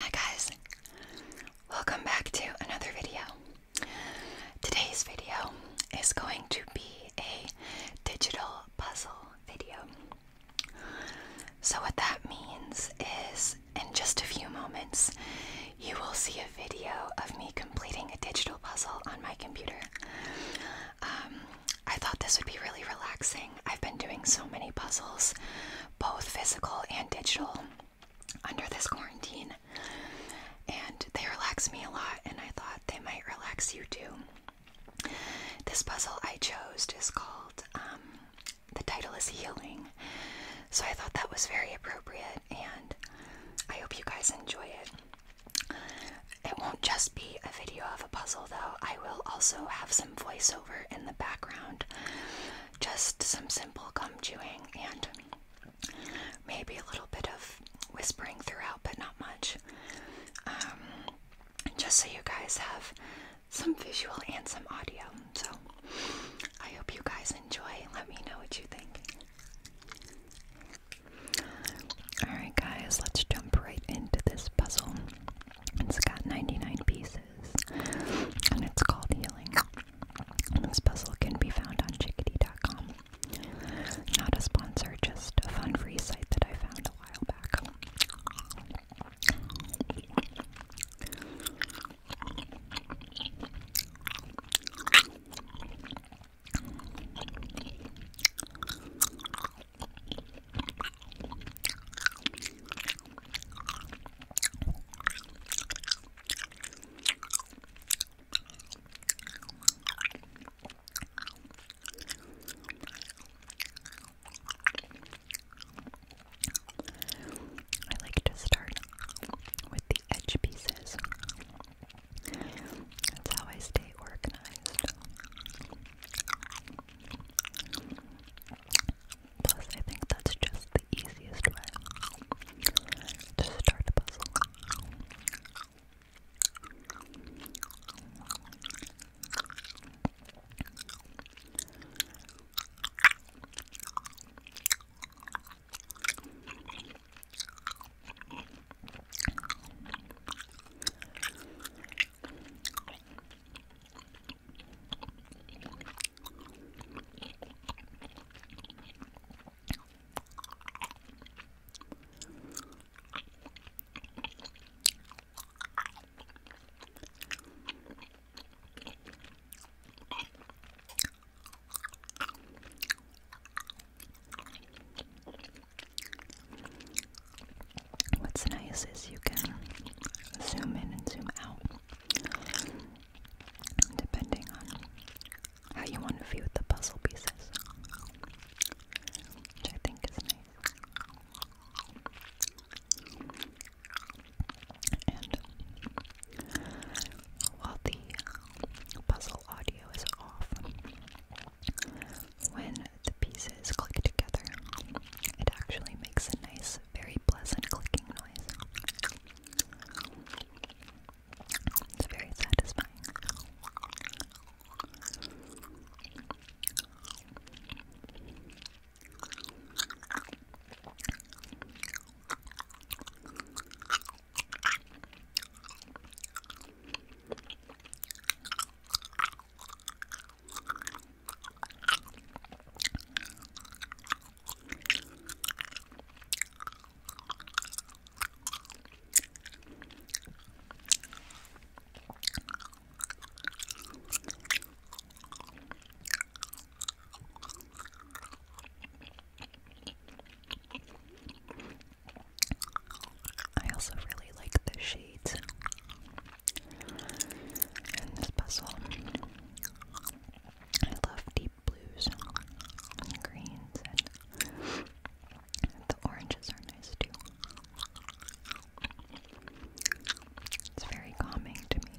Hi guys, welcome back to another video. Today's video is going to be a digital puzzle video. So what that means is in just a few moments you will see a video of me completing a digital puzzle on my computer. Um, I thought this would be really relaxing. I've been doing so many puzzles both physical and digital, under this quarantine. And they relax me a lot, and I thought they might relax you too. This puzzle I chose is called, um, the title is Healing. So I thought that was very appropriate, and I hope you guys enjoy it. It won't just be a video of a puzzle, though. I will also have some voiceover in the background just some simple gum chewing and maybe a little bit of whispering throughout, but not much. Um, just so you guys have some visual and some audio. So I hope you guys enjoy. Let me know what you think. Alright, guys, let's jump right into this puzzle. It's got 99 pieces and it's called Healing. This puzzle can be found on chickadee.com. Not a sponsor, just a fun free site that I found a while back. I like to start with the edge pieces. That's how I stay organized. Plus, I think that's just the easiest way to start the puzzle. What's nice is you can zoom in and zoom out depending on how you want to view the puzzle pieces, I think is nice. And while the puzzle audio is off, when the pieces click together, it actually makes a nice, very pleasant clicking noise. It's very satisfying. I also really like the shades this puzzle. I love deep blues and greens, and the oranges are nice too. It's very calming to me.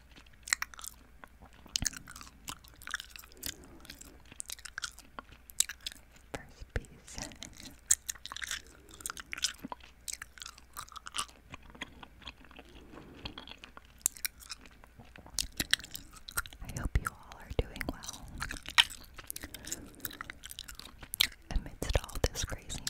First piece. I hope you all are doing well amidst all this craziness.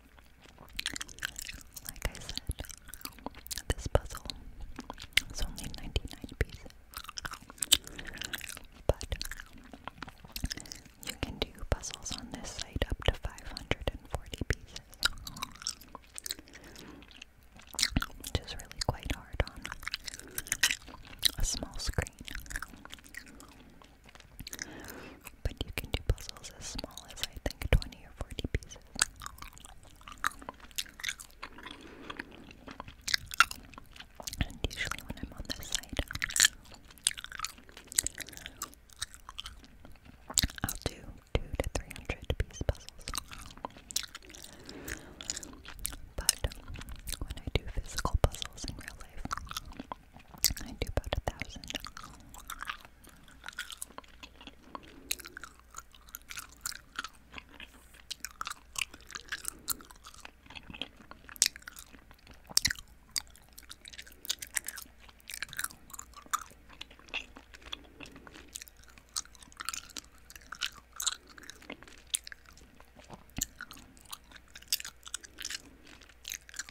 Like I said, this puzzle is only 99 pieces, but you can do puzzles on this site up to 540 pieces, which is really quite hard on a small screen. But you can do puzzles as small as I think 20 or 40 pieces. And usually when I'm on this side, I'll do two to three hundred piece puzzles. But when I do physical puzzles in real life, I do about a thousand.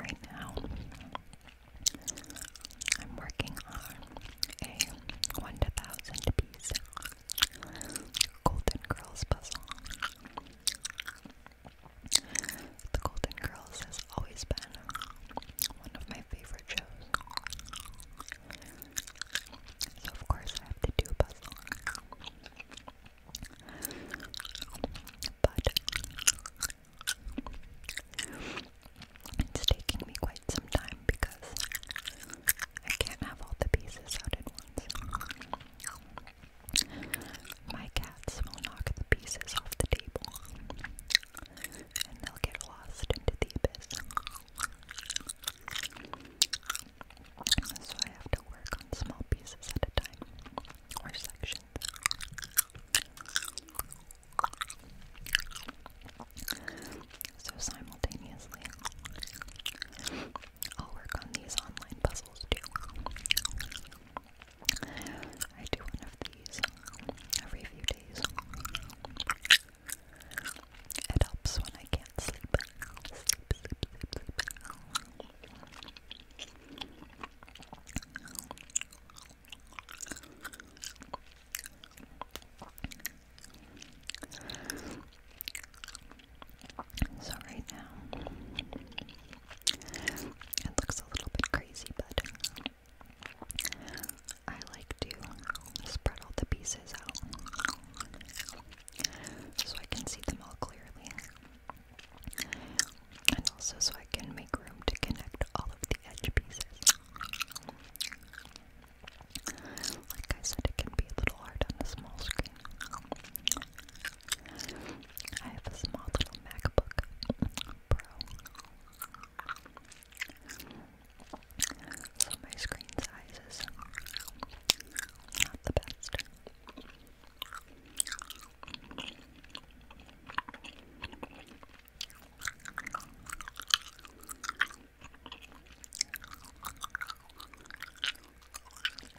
Right now, I'm working on a 1 to 1000 piece Golden Girls puzzle. The Golden Girls has always been one of my favorite shows. So, of course, I have to do a puzzle. But it's taking me quite some time because I can't have all the pieces out at once. My cats will knock the pieces off the table and they'll get lost into the abyss. So I have to work on small pieces at a time or sections. So simultaneously. I'll work on these online puzzles too. I do one of these um, every few days. It helps when I can't sleep. So right now, it looks a little bit crazy, but I like to spread all the pieces out so I can see them all clearly. And also so I can make room to connect all of the edge pieces. Like I said, it can be a little hard on a small screen. I have a small little MacBook Pro. So my screen size is not the best.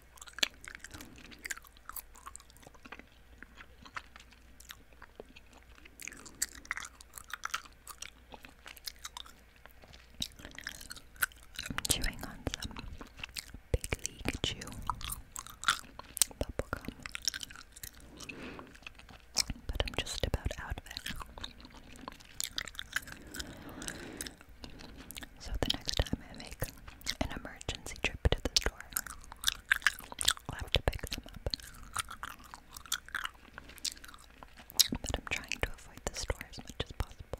I'm chewing on some big league chew bubblegum. But I'm just about out of it. So the next time I make an emergency trip to the store, i have to pick them up. But I'm trying to avoid the store as much as possible.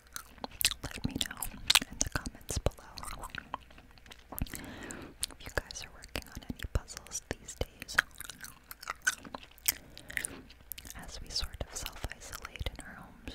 let me know in the comments below if you guys are working on any puzzles these days. As we sort of self isolate in our homes.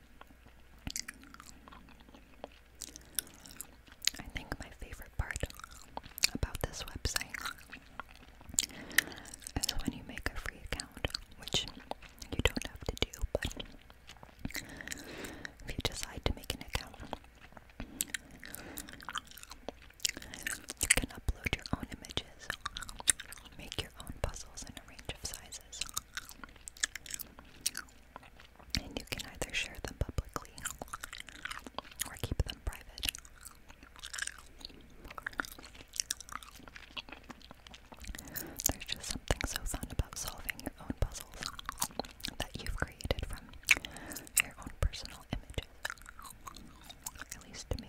I think my favorite part about this website is when you make a free account, which you don't have to do, but if you decide to make an account, you can upload your own images, make your own puzzles in a range of sizes and you can either share them publicly or keep them private. There's just something so fun about solving your own puzzles that you've created from your own personal images. At least to me.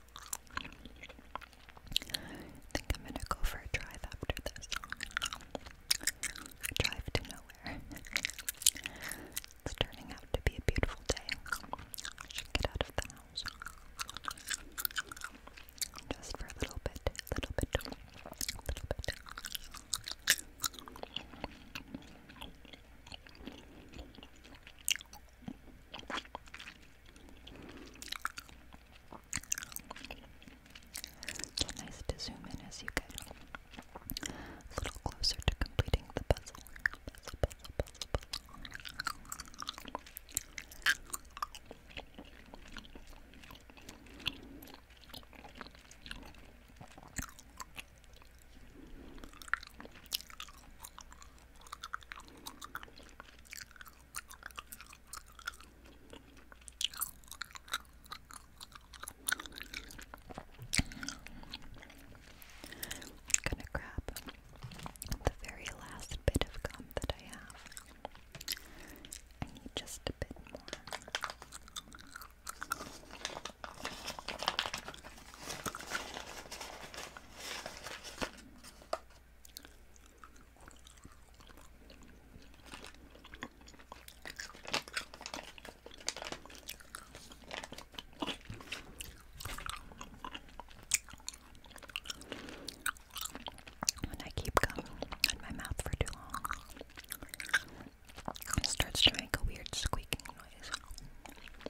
think I'm gonna go for a drive after this. drive to nowhere. it's turning out to be a beautiful day. should get out of the house. Just for a little bit, little bit, little bit. It's nice to zoom in as you get a little closer to completing the puzzle. puzzle. I'm gonna grab the very last bit of gum that I have. I need just a bit more. When I keep gum in my mouth for too long, it starts to make a weird squeaking noise.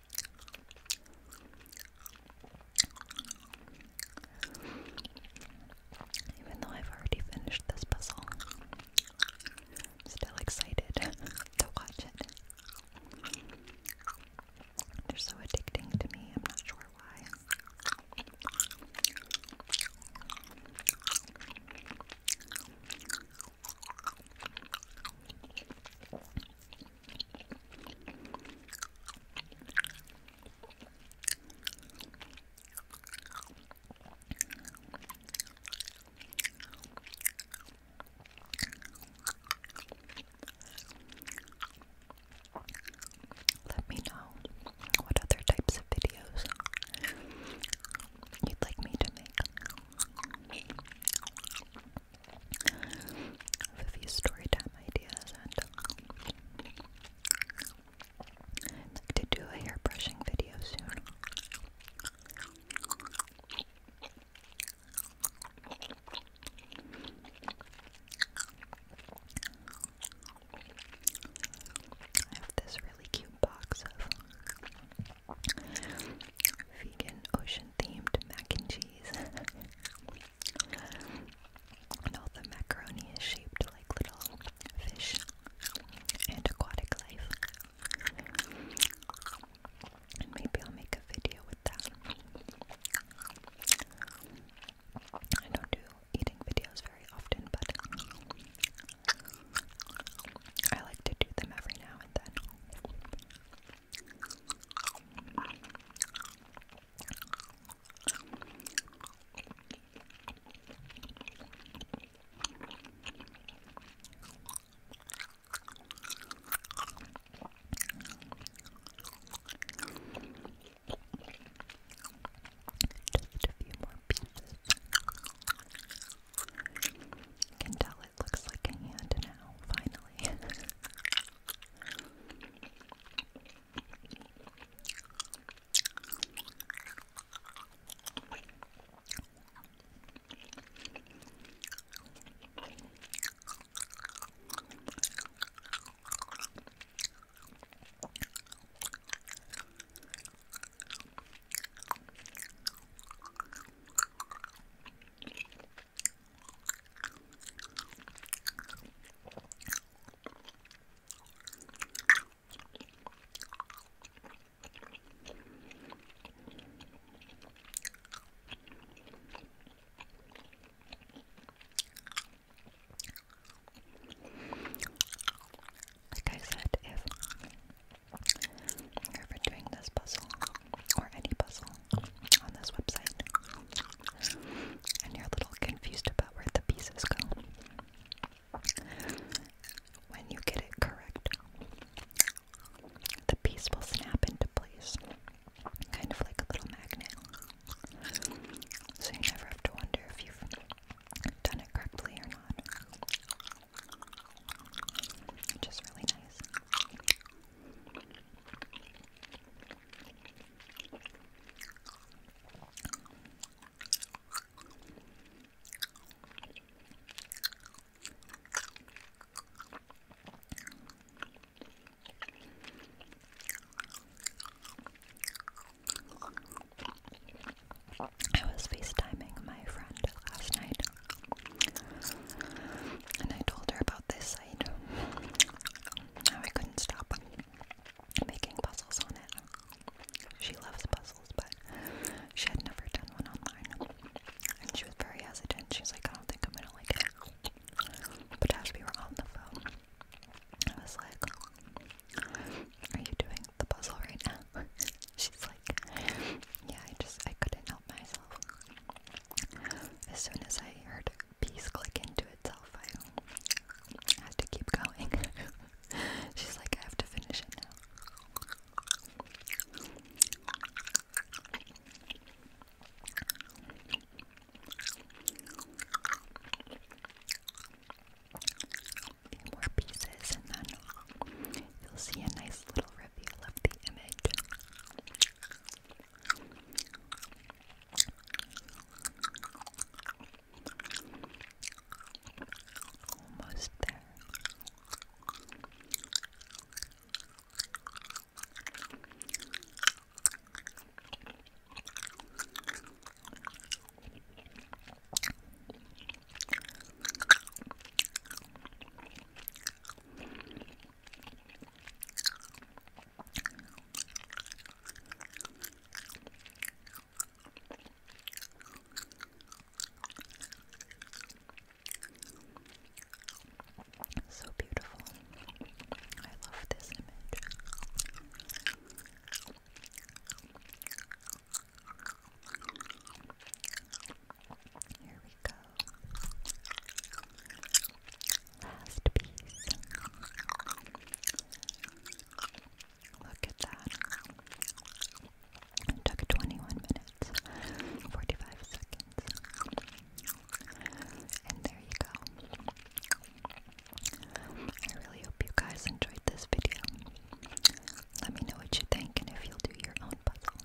Even though I've already finished this puzzle, am still excited to watch it. They're so addicting to me, I'm not sure why. Let me know what other types of videos you'd like me to make for these story ideas and i like to do a hair brushing video soon. I have this really cute box of vegan ocean themed mac and cheese. and all the macaroni is shaped like little fish and aquatic life. maybe I'll make a video with that. I don't do eating videos very often, but I like to do them every now and then. Just a few more pieces. You can tell it looks like a hand now, finally. Like I said, if or for doing this puzzle or any puzzle on this website and you're a little confused about where the pieces go. When you get it correct, the piece will snap into place, kind of like a little magnet. So you never have to wonder if you've done it correctly or not. Which is really nice. I was FaceTiming my friend last night and I told her about this site, I couldn't stop making puzzles on it. She loves puzzles, but she had never done one online. And she was very hesitant. She's like, I don't think I'm gonna like it. But as we were on the phone, I was like, Are you doing the puzzle right now? She's like, Yeah, I just I couldn't help myself. As soon as I heard a piece click into itself, I had to keep going. She's like, I have to finish it now. more pieces, and then you'll see a nice little reveal of the image. Almost there. So beautiful. I love this image. Here we go. Last piece. Look at that. took 21 minutes, 45 seconds. And there you go. I really hope you guys enjoyed this video. Let me know what you think and if you'll do your own puzzle.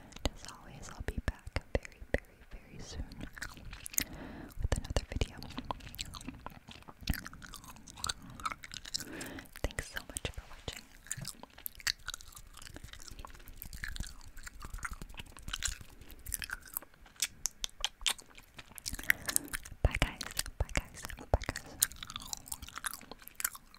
And as always, I'll be back very, very, very soon with another video. Thanks so much for watching. Bye guys. Bye guys. Bye guys.